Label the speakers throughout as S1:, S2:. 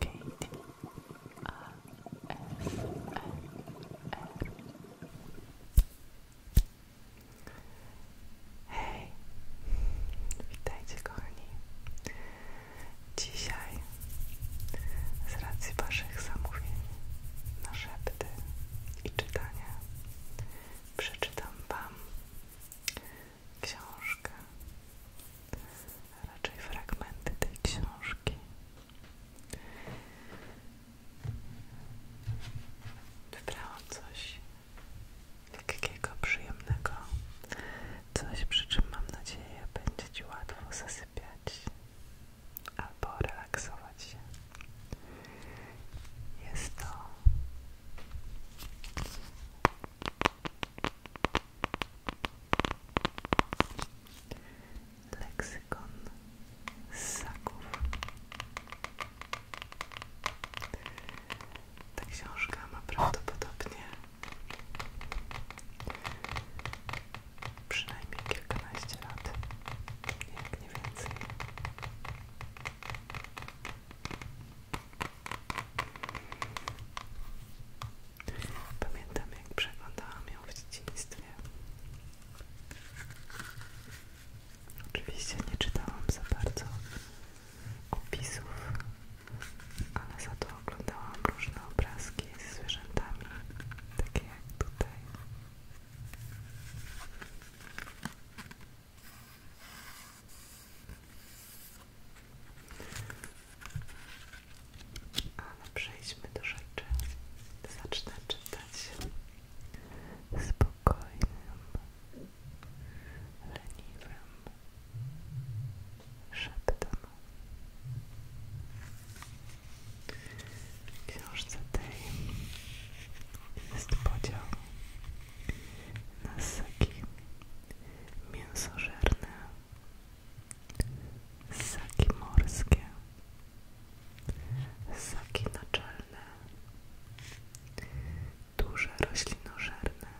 S1: Katie A Hej, witajcie kochani. Dzisiaj z racji Waszych zamówień na szepty i czytania przeczytam Wam książkę, a raczej fragmenty tej książki. Wybrałam coś lekkiego, przyjemnego, coś przy czym mam nadzieję będzie Ci łatwo zasypiać albo relaksować się. Jest to Leksykon ssaków. Ta książka ma prawdopodobnie przynajmniej kilkanaście lat, jak nie więcej. Pamiętam jak przeglądałam ją w dzieciństwie. Oczywiście nie czytałam za bardzo opisów, ale za to oglądałam różne obrazki ze zwierzętami, takie jak tutaj. Ale przejdźmy do rzeczy. Zacznę czytać spokojnym, leniwym szeptem. W książce tej jest podział na ssaki mięsożerne Saki morskie, saki naczelne, duże roślinożerne,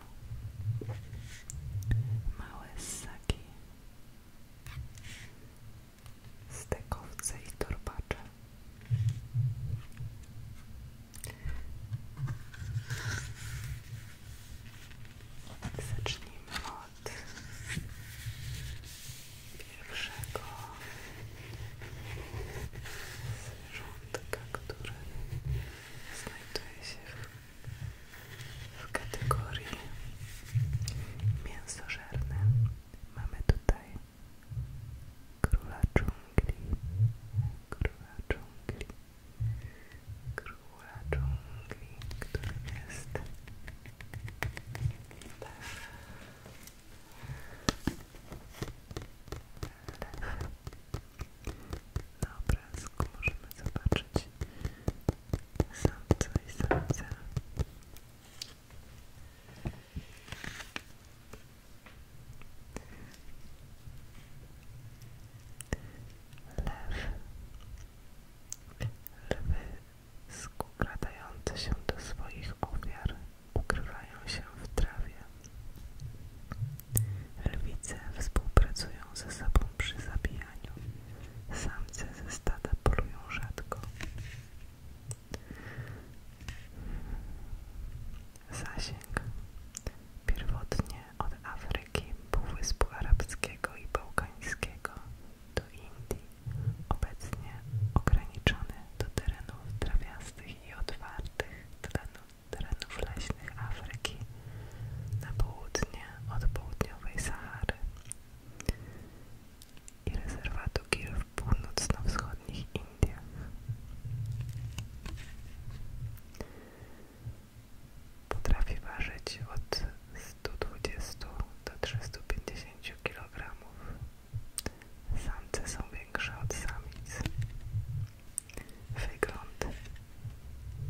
S1: małe saki, stekowce i torbacze zacznijmy od pierwszego zwierzątka, który znajduje się w, kategorii mięsożerne. Mamy tutaj króla dżungli, króla dżungli króla dżungli, który jest lew. lew. Na obrazku możemy zobaczyć samca i samca lew. Lwy skradające się do swoich ofiar ukrywają się w trawie. Lwice współpracują ze sobą przy zabijaniu. Samce ze stada polują rzadko. Zasięg. Pierwotnie od Afryki, Półwyspu Arabskiego i Bałkańskiego do Indii, obecnie ograniczony do terenów trawiastych i otwartych terenów, terenów leśnych Afryki na południe od południowej Sahary i rezerwatu Gir w północno-wschodnich Indiach. Potrafi ważyć od 120 do 350 kg. Samce są większe od samic. Wygląd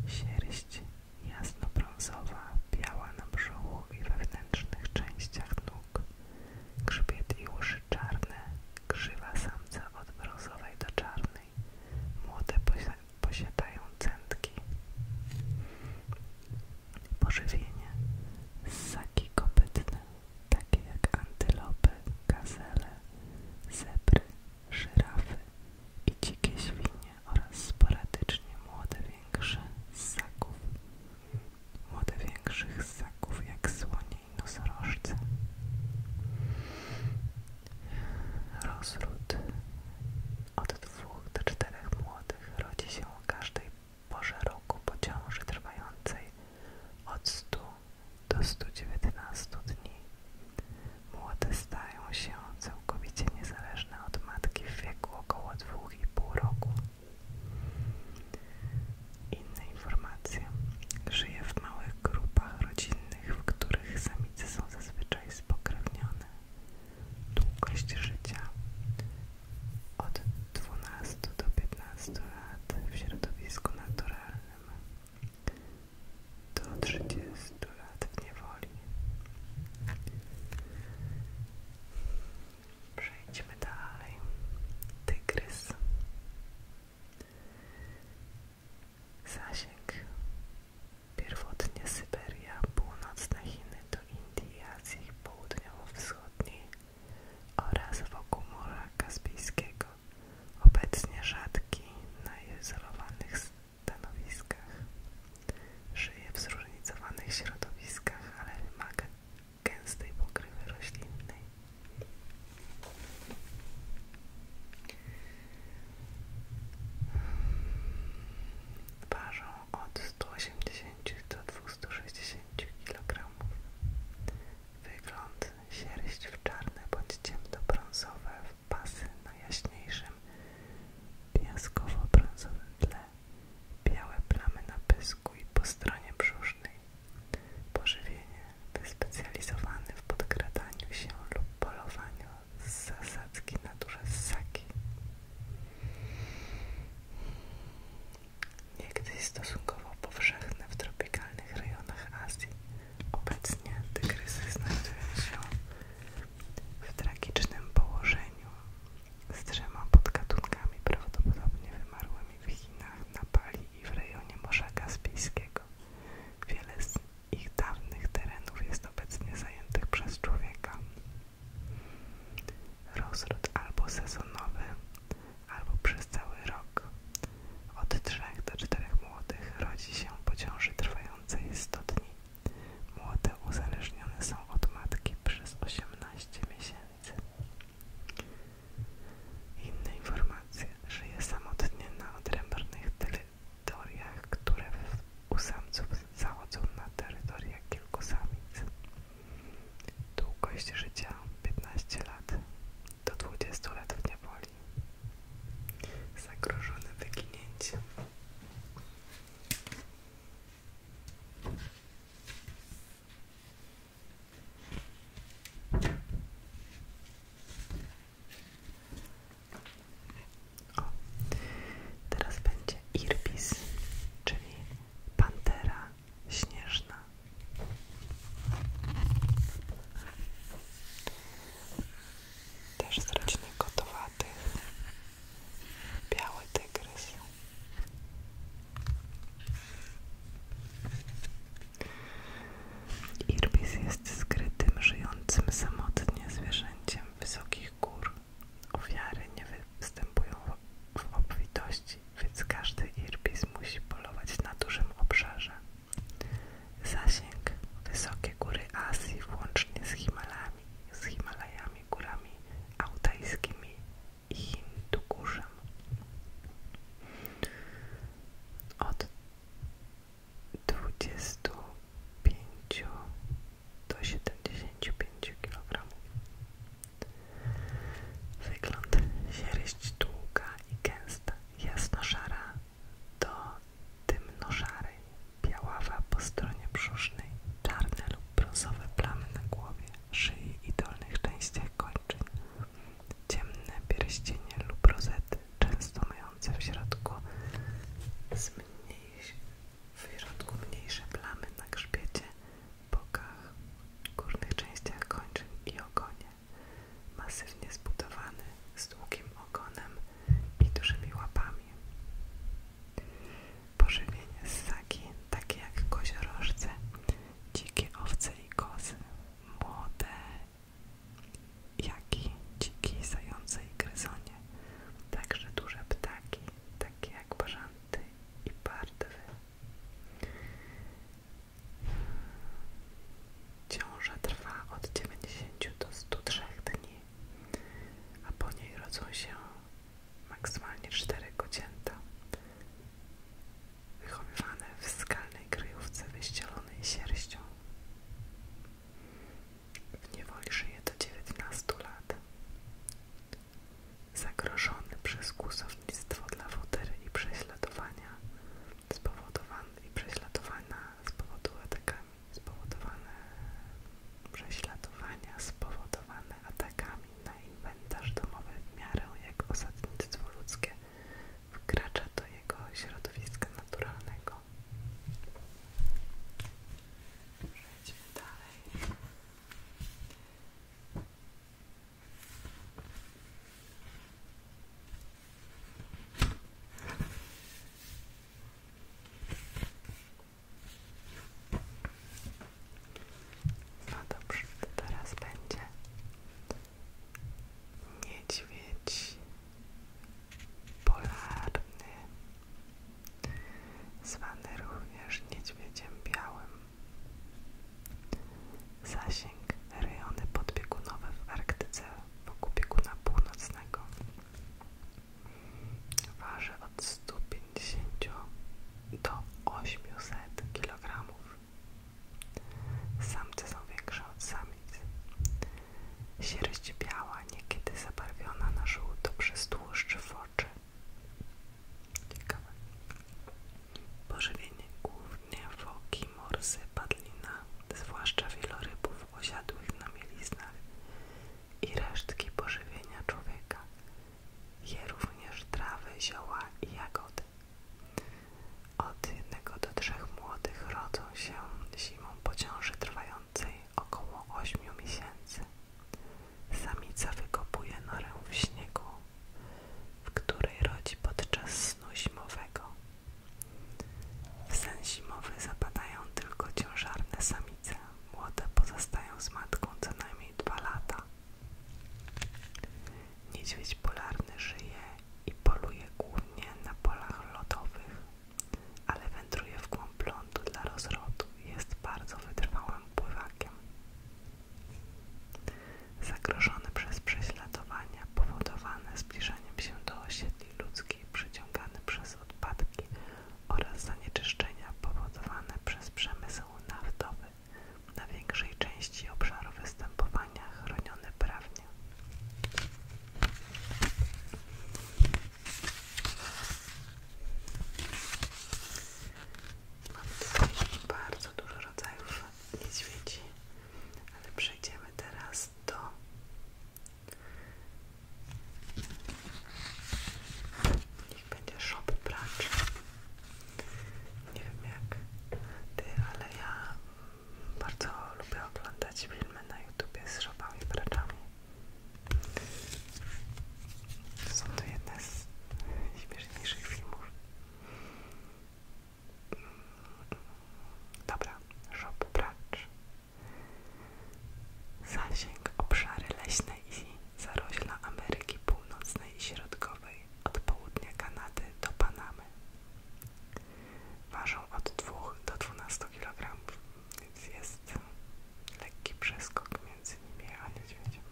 S1: sierść jasnobrązowa, biała na brzuchu i wewnętrznych częściach nóg. Grzbiet i uszy czarne, krzywa samca od brązowej do czarnej. Młode posiadają centki. Pożywienie ssaki kopytne, takie jak antylopy, gazele, zebry, żyrafy i dzikie świnie oraz sporadycznie młode większe ssaków. Młode większych ssaków jak słonie i nosorożce. Rozród od dwóch do czterech młodych rodzi się o każdej porze roku po ciąży trwającej od 100 do 119 dni. Młode stają się całkowicie niezależne od matki w wieku około 2,5 roku. Inne informacje. Żyje w małych grupach rodzinnych w których samice są zazwyczaj spokrewnione. Długość życia od 12 do 15 lat w środowisku naturalnym do 30 lat w niewoli. Przejdźmy dalej. Tygrys. Zasięg Pierwotnie Syberia, północne Chiny do Indii i Azji Południowo-Wschodniej oraz wokół Morza Kaspijskiego, obecnie rzadki na izolowanych stanowiskach. Żyje w zróżnicowanych środowiskach, ale wymaga gęstej pokrywy roślinnej. Ważą od 180 do 260 kg. Wygląd sierść w czarne bądź ciemnobrązowe w pasy na jaśniejszym piaskowo-brązowym tle, białe plamy na pysku i po stronie brzusznej. Pożywienie wyspecjalizowane w podkradaniu się lub polowaniu z zasadzki na duże ssaki. Niegdyś stosunkowo powszechne w tropikalnych rejonach Azji, obecnie tygrysy znajdują się w tragicznym położeniu z trzema podgatunkami prawdopodobnie wymarłymi w Chinach, na Bali i w rejonie Morza Kaspijskiego. Wiele z ich dawnych terenów jest obecnie zajętych przez człowieka. Rozród albo sezonowy, albo przez cały rok. Od 3 do 4 młodych rodzi się po ciąży trwającej 100 dni. Młode uzależnione są od matki przez 18 miesięcy. Inne informacje. Żyje samotnie na odrębnych teoriach, które u samców zachodzą na terytoriach kilku samic. Długość życia 15 lat do 20 lat w niewoli. Zagrożone wyginięciem teraz będzie Irbis, czyli pantera śnieżna. Też z rodziny kotowatych. Biały tygrys. Irbis jest skrytym, żyjącym samotnie zwierzęciem wysokich gór. Ofiary nie występują w obfitości, więc każdy Irbis musi polować na dużym obszarze. Zasięg wysokie góry Azji włącznie z Himalami, z Himalajami, górami altajskimi i Hindukuszem. Od 25 do 75 kg. Wygląd sierść długa i gęsta, jasno-szara do dymno szarej biaława po stronie brzusznej, czarne lub brązowe plamy na głowie, szyi i dolnych częściach kończyn, ciemne pierścienie lub rozety często mające w środku zmniejsz, w środku mniejsze plamy na grzbiecie, bokach, górnych częściach kończyn i ogonie. Masywnie zbudowany, z długim ogonem i dużymi łapami. Pożywienie ssaki, takie jak koziorożce, dzikie owce i kozy, młode jak i dziki, zające i gryzonie, także duże ptaki, takie jak bażanty i pardwy. Ciąża trwa od 90 do 103 dni, a po niej rodzą się maksymalnie cztery kocięta wychowywane w skalnej kryjówce wyścielonej sierścią. W niewoli żyje do 19 lat. Zagrożony przez kłusownictwo dla wotery i prześladowania spowodowane i prześladowania spowodowane atakami na inwentarz domowy w miarę jak osadnictwo ludzkie wkracza do jego środowiska naturalnego. Przejdźmy dalej. No dobrze, teraz będzie niedźwiedź polarny, zwany również niedźwiedziem białym. Zasięg rejony podbiegunowe w Arktyce wokół bieguna północnego. Waży od 150 do 800 kg. Samce są większe od samic. Sierść biała, niekiedy zabarwiona na żółto przez tłuszcz w oczy. Ciekawe. Pożywienie głównie foki, morsy, padlina, zwłaszcza wielorybów osiadłych na mieliznach i resztki pożywienia człowieka. Je również trawy, zioła i jagody. Od jednego do trzech młodych rodzą się zimą po ciąży trwającej około 8 miesięcy. Samica wykopuje norę w śniegu, w której rodzi podczas snu zimowego. W sen zimowy zapadają tylko ciężarne samice. Młode pozostają z matką co najmniej 2 lata. Niedźwiedź polarny żyje i poluje głównie na polach lodowych, ale wędruje w głąb lądu dla rozrodu i jest bardzo wytrwałym pływakiem. Zagrożone przez prześladowania powodowane zbliżaniem się do osiedli ludzkiej, przyciągany przez odpadki oraz zanieczyszczenia powodowane przez przemysł naftowy, na większej części obszaru występowania chronione prawnie ładnie. Mamy tutaj bardzo dużo rodzajów niedźwiedzi, ale przejdziemy teraz do niech będzie shop pracz. Nie wiem jak ty, ale ja bardzo lubię oglądać filmy na YouTubie z szopami praczami. Są to jedne z śmieszniejszych filmów. Dobra, szop pracz. Zasięg obszary leśne i zarośla Ameryki Północnej i Środkowej od południa Kanady do Panamy. Ważą od 2 do 12 kg, więc jest lekki przeskok między nimi a niedźwiedziem.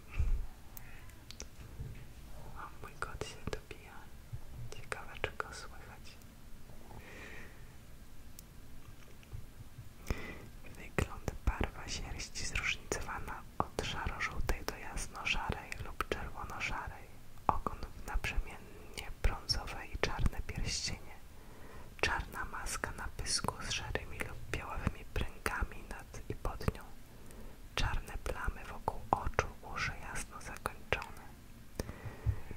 S1: O mój kot się dobija. Ciekawe, czy go słychać. Wygląd barwa sierści zróżnicowana od szaro-żółtej do jasno-szarej lub czerwono-szarej. Ogon naprzemienny brązowe i czarne pierścienie, czarna maska na pysku z szarymi lub białawymi pręgami nad i pod nią, czarne plamy wokół oczu, uszy jasno zakończone.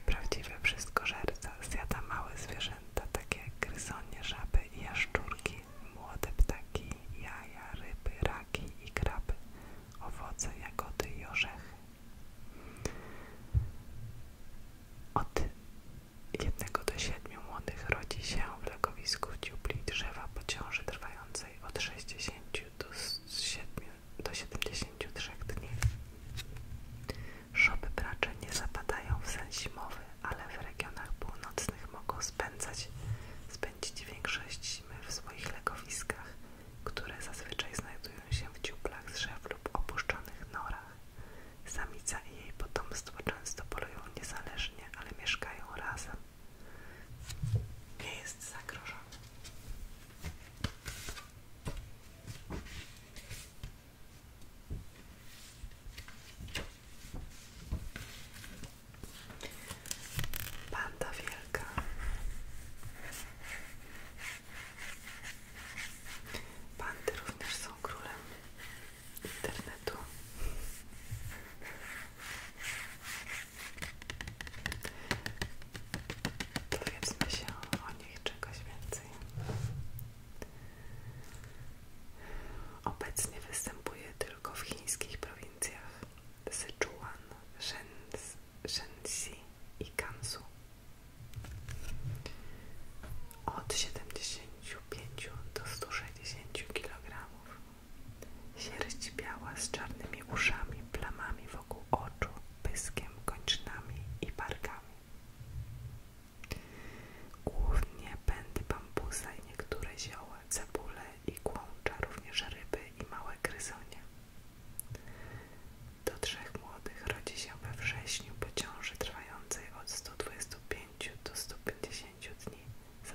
S1: Prawdziwy wszystkożerca zjada małe zwierzęta, takie jak gryzonie, żaby i jaszczurki, młode ptaki, jaja, ryby, raki i kraby, owoce, jagody i orzechy. Od jednego do siedmiu młodych rodzi się w legowisku dziubli drzewa po ciąży trwającej od 60 do, 7, do 73 dni. Szopy bracze nie zapadają w sen zimowy, ale w regionach północnych mogą spędzić większość zimy w swoich legowiskach które zazwyczaj znajdują się w dziuplach drzew lub opuszczonych norach. Samica i jej potomstwo często polują niezależnie, ale mieszkają razem. Nie jest zagrożony. Panda wielka. Panty również są królem internetu. Dowiedzmy się o nich czegoś więcej. Obecnie występuje tylko w chińskich prowincjach Sichuan, Shenzhen, Shensi i Kansu. Od 75 do 160 kg. Sierść biała z czarnymi uszami, plamami wokół oczu, pyskiem, kończynami i barkami. Głównie pędy bambusa i niektóre zioła, cebule i kłącza, również ryby i małe gryzonie. Do trzech młodych rodzi się we wrześniu po ciąży trwającej od 125 do 150 dni.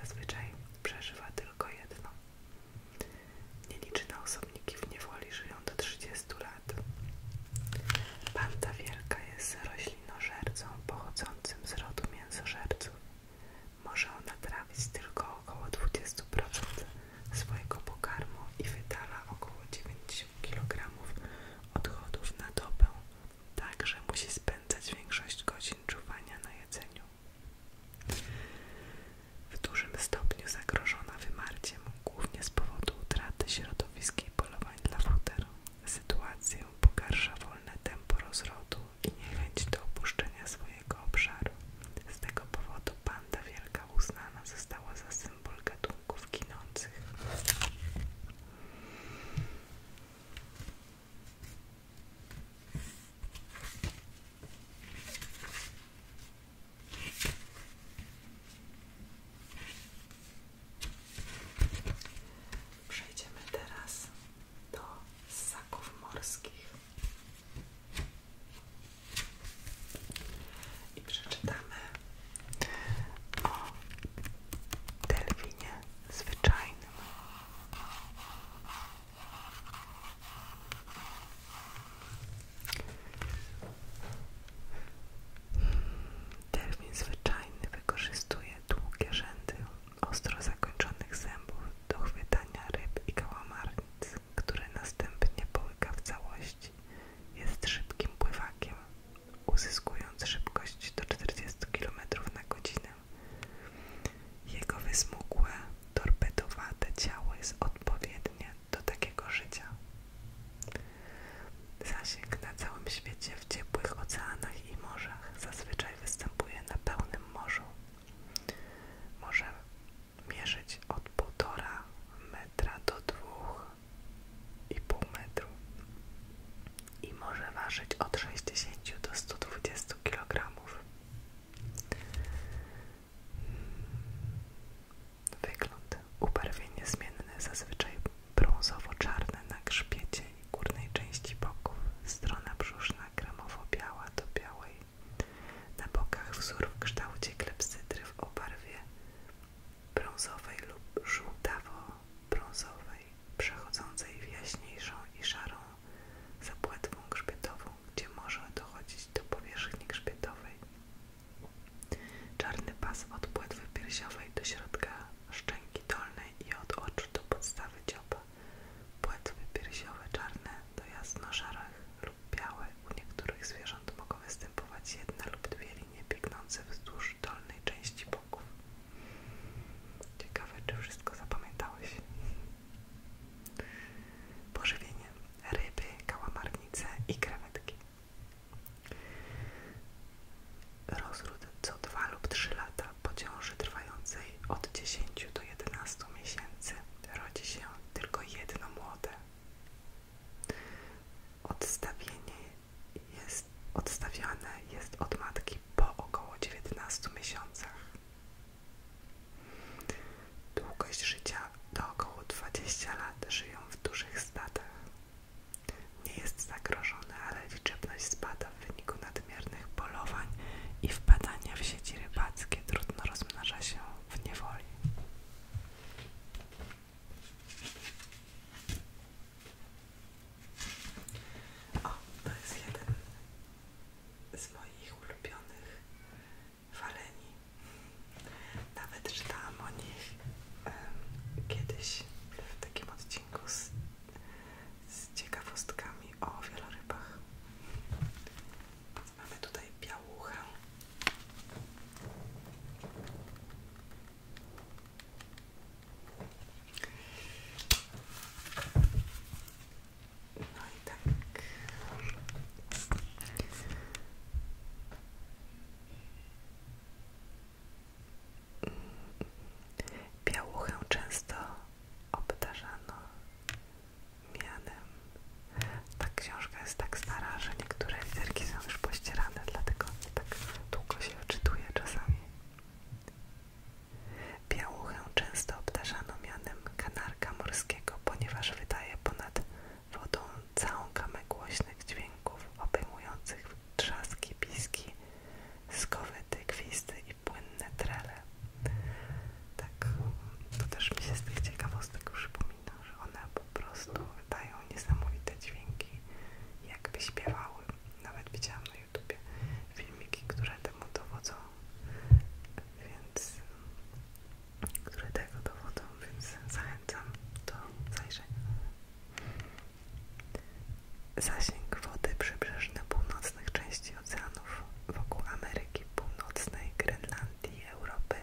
S1: Zazwyczaj przeżywa tylko jedno. Nieliczne osobniki w niewoli żyją do 30 lat. Panda wielka jest roślinożercą pochodzącym z rodu mięsożerców. Może ona trawić tylko około 20% swojego pokarmu i wydala około 90 kg odchodów na dobę, także musi spędzać większość godzin czuwania na jedzeniu. W dużym stopniu zagrożona wymarciem, głównie z powodu utraty środowiska i polowań dla futeru. Sytuację pogarsza wolne tempo rozrodu i niechęć do opuszczenia swojego obszaru. Z tego powodu pan Panda wielka uznana została za symbol gatunków ginących. Przejdziemy teraz do ssaków morskich. I przeczytamy o delfinie zwyczajnym. Delfin zwyczajny wykorzystuje długie rzędy ostro zakończonych zębów do chwytania ryb i kałamarnic który następnie połyka w całości, jest szybkim pływakiem, uzyskując szybkość do 40 km na godzinę. Jego wysmukłe, torpedowate ciało jest odpowiednie do takiego życia. Zasięg na całym świecie w ciepłych oceanach i morzach zazwyczaj występuje na pełnym morzu. Może mierzyć od 1,5 metra do 2,5 metrów i może ważyć od 60 do 120 kg. Wygląd ubarwienie zmienne, zazwyczaj brązowo-czarne na grzbiecie i górnej części boków, strona brzuszna kremowo-biała do białej na bokach wzór w kształcie klepsydry w obarwie brązowej lub żółtawo-brązowej, przechodzącej w jaśniejszą i szarą zapłatwą grzbietową, gdzie może dochodzić do powierzchni grzbietowej. Czarny pas od płetwy piersiowej do środka szczęki dolnej i od oczu do podstawy dzioba. Płetwy piersiowe czarne do jasno-szarych lub białych. U niektórych zwierząt mogą występować jedna lub dwie linie biegnące wzdłuż dolnej części boków. Ciekawe, czy wszystko zapamiętałeś. Pożywienie: ryby, kałamarnice i krewetki. Rozród co 2 lub 3 lata po ciąży trwającej od 10 do 11 miesięcy rodzi się tylko jedno młode. Odstawienie jest odstawiane jest od matki po około 19 miesiącach. Długość życia do około 20 lat żyją w dużych stadach. Nie jest zagrożone, ale liczebność spada w wyniku nadmiernych polowań i wpadania w sieci rybackie trudno rozmnaża się w niewoli. O, to jest jeden z moich ulubionych faleni. Nawet czytałam o nich kiedyś w takim odcinku z, z ciekawostkami o wielorybach. Mamy tutaj białuchę. No tak. często obdarzano mianem. Ta książka jest tak stara, że niektóre literki są już pościerane, dlatego tak długo się czytuje czasami. Białuchę często obdarzano mianem kanarka morskiego, ponieważ wydaje ponad wodą całą kamę głośnych dźwięków obejmujących trzaski, piski, skowyty, gwisty i płynne trele. Tak, to też mi się z tych ciekawostek przypomina, że one po prostu dają niesamowite dźwięki, jakby śpiewały. Nawet widziałam na YouTubie filmiki, które temu dowodzą, więc które tego dowodzą, więc zachęcam do zajrzenia. Zasięg wody przybrzeżny północnych części i wokół Ameryki Północnej, Grenlandii, Europy,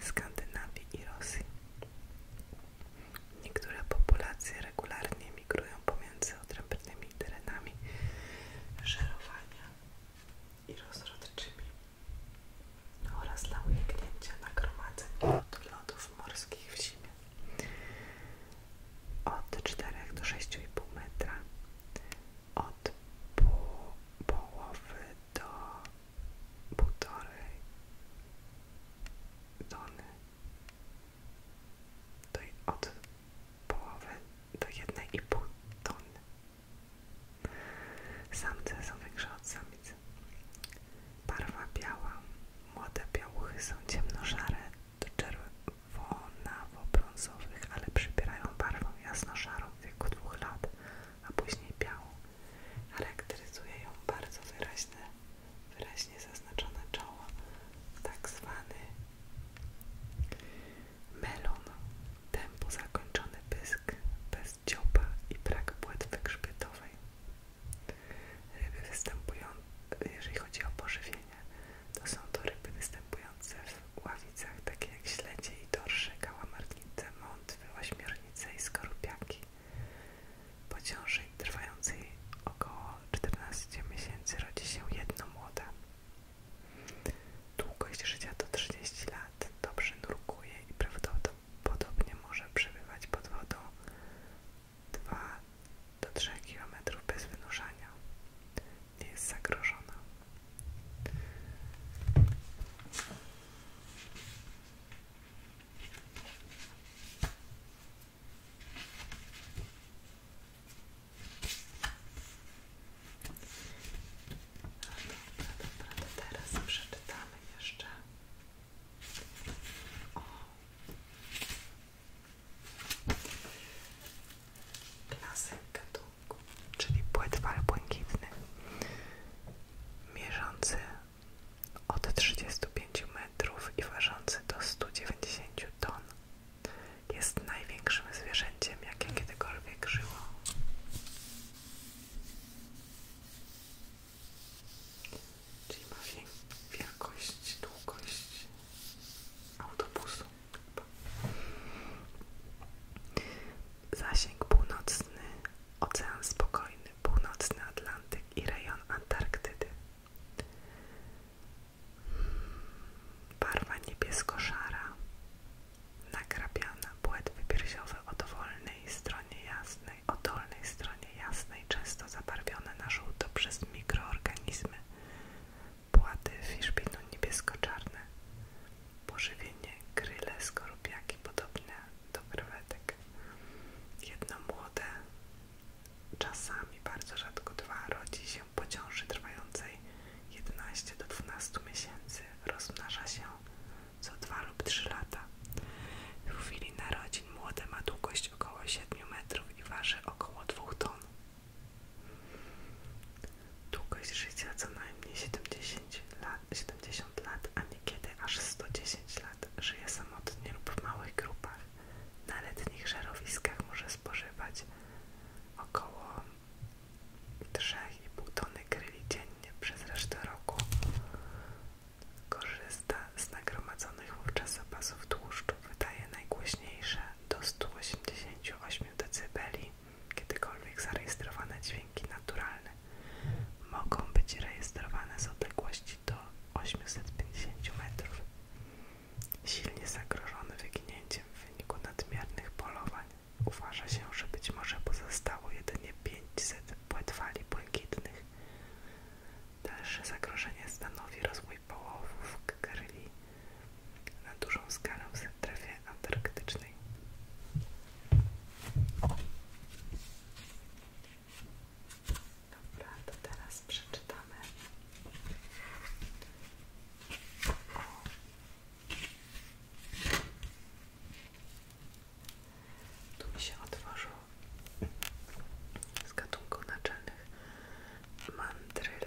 S1: Skandynawii i Rosji. Niektóre populacje regularnie migrują pomiędzy odrębnymi terenami żerowania i rozrodczymi oraz dla uniknięcia nagromadzeń lodów morskich w zimie od 4 do 6,5 metra od pół połowy do półtorej tony to od połowy do jednej i pół tony samce są większe od samicy. barwa biała młode białuchy są ciemnożare do czerwonawo brązowych ale przybierają barwę jasnożarą w wieku dwóch lat, a później białą. Charakteryzuje ją bardzo wyraźne, wyraźnie zaznaczone czoło, tak zwany melon, tempo zakończony pysk, bez dzioba i brak płetwy grzbietowej. Ryby występują, jeżeli chodzi o pożywienie, to są to ryby występujące w ławie okolicach, takie jak śledzie i dorsze, kałamarnice, mątwy, ośmiornice i skorupiaki. Po ciąży trwającej około 14 miesięcy rodzi się jedno młode. Długość życia to 30 lat, dobrze nurkuje i prawdopodobnie może przebywać pod wodą 2 do 3 km bez wynurzania nie jest zagrożona. Dobra, dobra, to teraz przeczytamy jeszcze. O. tu czyli płetwal błękitny, mierzący od 35 metrów i ważący do 190 ton, jest największym zwierzęciem, jakie kiedykolwiek żyło. Czyli ma wielkość, długość autobusu. Zasięg północny, Ocean Spokojny, Północny Atlantyk i rejon Antarktydy. Barwa niebiesko-szara, nakrapiana, płetwy piersiowe o dowolnej stronie jasnej, o dolnej stronie jasnej, często zabarwione na żółto przez mikroorganizmy płaty fiszbinu niebiesko-czarne, pożywienie kryle skorupiaki podobne do krewetek, jedno młode, czasami bardzo rzadko dwa, rodzi się po ciąży trwającej 11 do 12 miesięcy, rozmnaża się co dwa lub trzy lata. W chwili narodzin młode ma długość około 7 metrów i waży około 2 ton. Długość życia co najmniej 70 lat, 70 lat a niekiedy aż 110 lat. Żyje samotnie lub w małych grupach. Na letnich żarowiskach może spożywać około 3,5 tony kryli dziennie przez resztę roku. Korzysta z nagromadzonych wówczas zapasów tłuszczu, wydaje najgłośniejsze do 188 dB kiedykolwiek zarejestrowane dźwięki naturalne mogą być rejestrowane z odległości do 850 metrów. Silnie zagrożone wyginięciem w wyniku nadmiernych polowań uważa się, że być może pozostało jedynie 500 płetwali błękitnych. Dalsze zagrożenie stanowi rozwój połowów kryli na dużą skalę w strefie antarktycznej. Dobra, to teraz przeczytamy o tu mi się otworzył z gatunku naczelnych mandryl.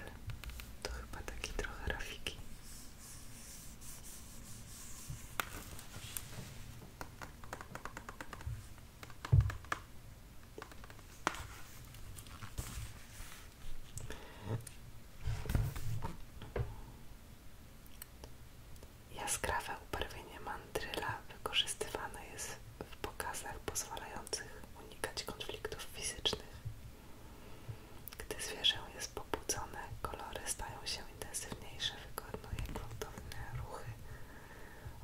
S1: To chyba takie trochę rafiki. Jaskrawe ubarwienie mandryla wykorzystywane jest w pokazach pozwalających unikać konfliktów fizycznych gdy zwierzę jest pobudzone, kolory stają się intensywniejsze, wykonuje gruntowne ruchy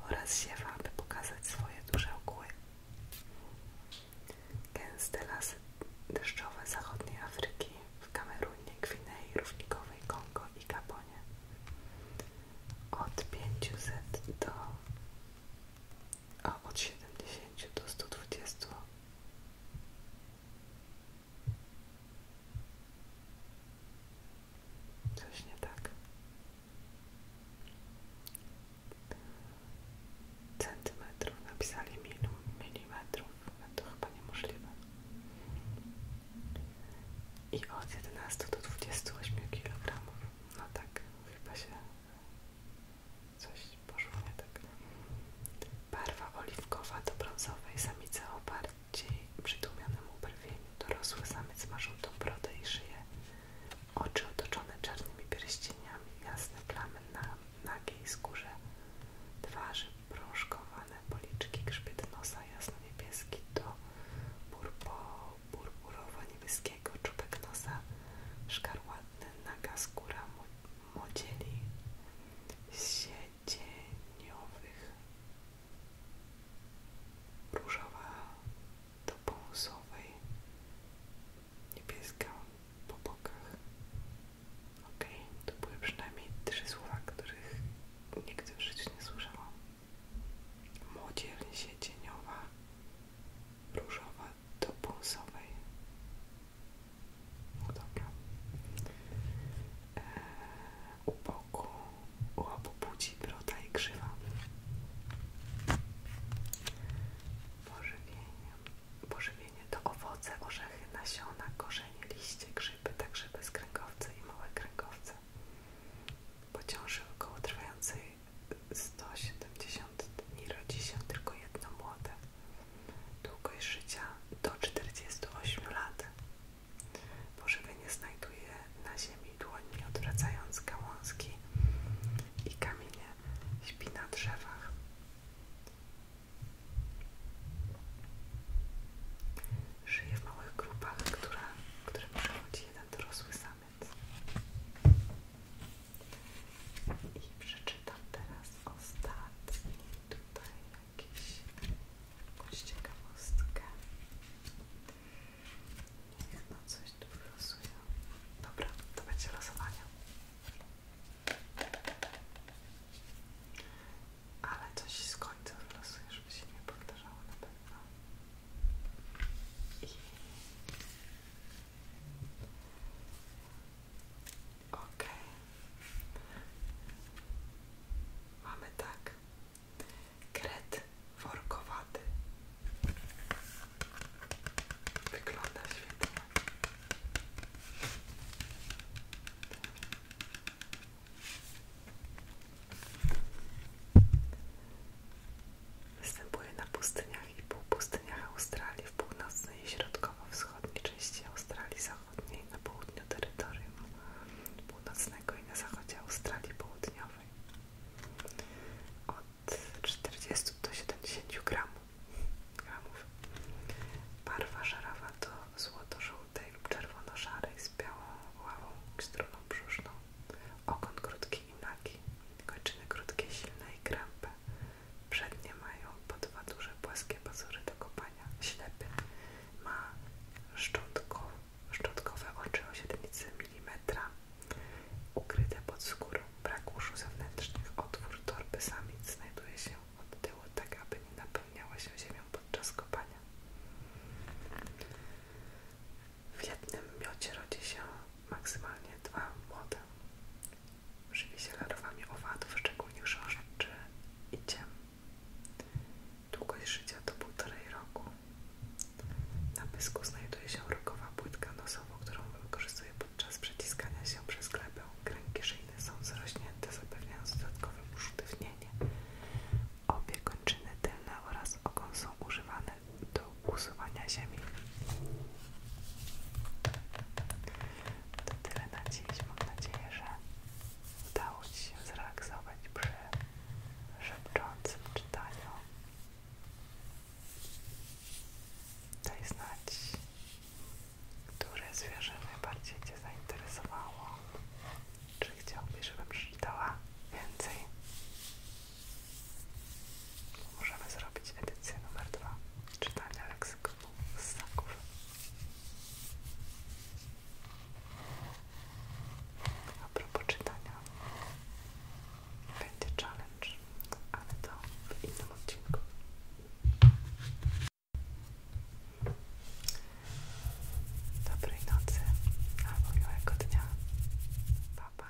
S1: oraz ziewa, aby pokazać swoje duże ogóły. Gęste lasy deszczowe zachodniej Afryki w Kamerunie, Gwinei, Równikowej, Kongo i Gabonie. Od 500 do a od 70 do 120 coś nie tak centymetrów napisali milu, milimetrów to chyba niemożliwe i od 11 do 28 kg no tak, chyba się Coś poszło nie tak. Barwa oliwkowa do brązowej samica o bardziej przytłumionym ubrwieniu. Dorosły samiec ma żółtą brodę i szyję. Oczy otoczone czarnymi pierścieniami, jasne plamy na nagiej skórze. Twarzy prążkowane, policzki, grzbiet nosa jasno-niebieski do burburowo-niebieskiego, czubek nosa szkarłatny, naga skóra, odzieli siedzieniowych, różowa do pomysłowej, niebieska po bokach. Ok, to były przynajmniej trzy słowa, których nigdy w życiu nie słyszałam. Młodzież siedzieniowa, różowa do pulsowej. No dobra. E, u boku, u obu płci broda i grzywa. Pożywienie. Pożywienie to owoce, orzechy, nasiona, korzenie, liście, grzyby, także bezkręgowce i małe kręgowce. Po ciąży około trwającej 170 dni rodzi się tylko jedno młode. Długość życia do 48 lat. Pożywienie znajduje na ziemi dłoni, odwracając gałązki i kamienie. Śpi na drzewach. Żyje w małych grupach, które, którym przechodzi jeden dorosły samiec. I przeczytam teraz ostatni tutaj jakiś, jakąś ciekawostkę. Niech no coś tu losuje. Dobra, to będzie losowanie. Ale coś z końca wylosuję, żeby się nie powtarzało na pewno. I Ok. Mamy tak. Kret workowaty. Wygląda świetnie. Występuje na pustyniach i półpustyniach Australii, w północnej i środkowo-wschodniej części Australii Zachodniej, na południu terytorium północnego i na zachodzie Australii Południowej. Od 40 do 70 gramów. Barwa żarawa to złoto-żółtej lub czerwono-szarej z białą ławą i struną brzuszną. Okon krótki i nagi. Kończyny krótkie, silne i krępe. Przednie mają po dwa duże płaskie pazury do kopania. Ślepy ma szczątkowe oczy o średnicy milimetra, ukryte pod skórą. Brak uszu zewnętrznych. Otwór torby samic znajduje się od tyłu, tak aby nie napełniała się ziemią podczas kopania. W jednym miocie rodzi się maksymalnie dwa młode. Żywi się larwami owadów, szczególnie chrząszczy i ciem. Długość życia to półtorej roku. Na pysku znajduje się rogowa płytka nosowa, którą wykorzystuje podczas przeciskania się przez glebę. Kręgi szyjne są zarośnięte, zapewniając dodatkowe usztywnienie. Obie kończyny tylne oraz ogon są używane do usuwania ziemi. To tyle na dziś. Mam nadzieję, że udało Ci się zrelaksować przy szepczącym czytaniu. Daj znać, które zwierzę najbardziej Cię zainteresowało. Czy chciałbyś, żebym przeczytała więcej? Możemy zrobić edycję numer dwa czytania leksykonu ssaków. A propos czytania, będzie challenge, ale to w innym odcinku. Dobrej nocy albo miłego dnia. Pa, pa.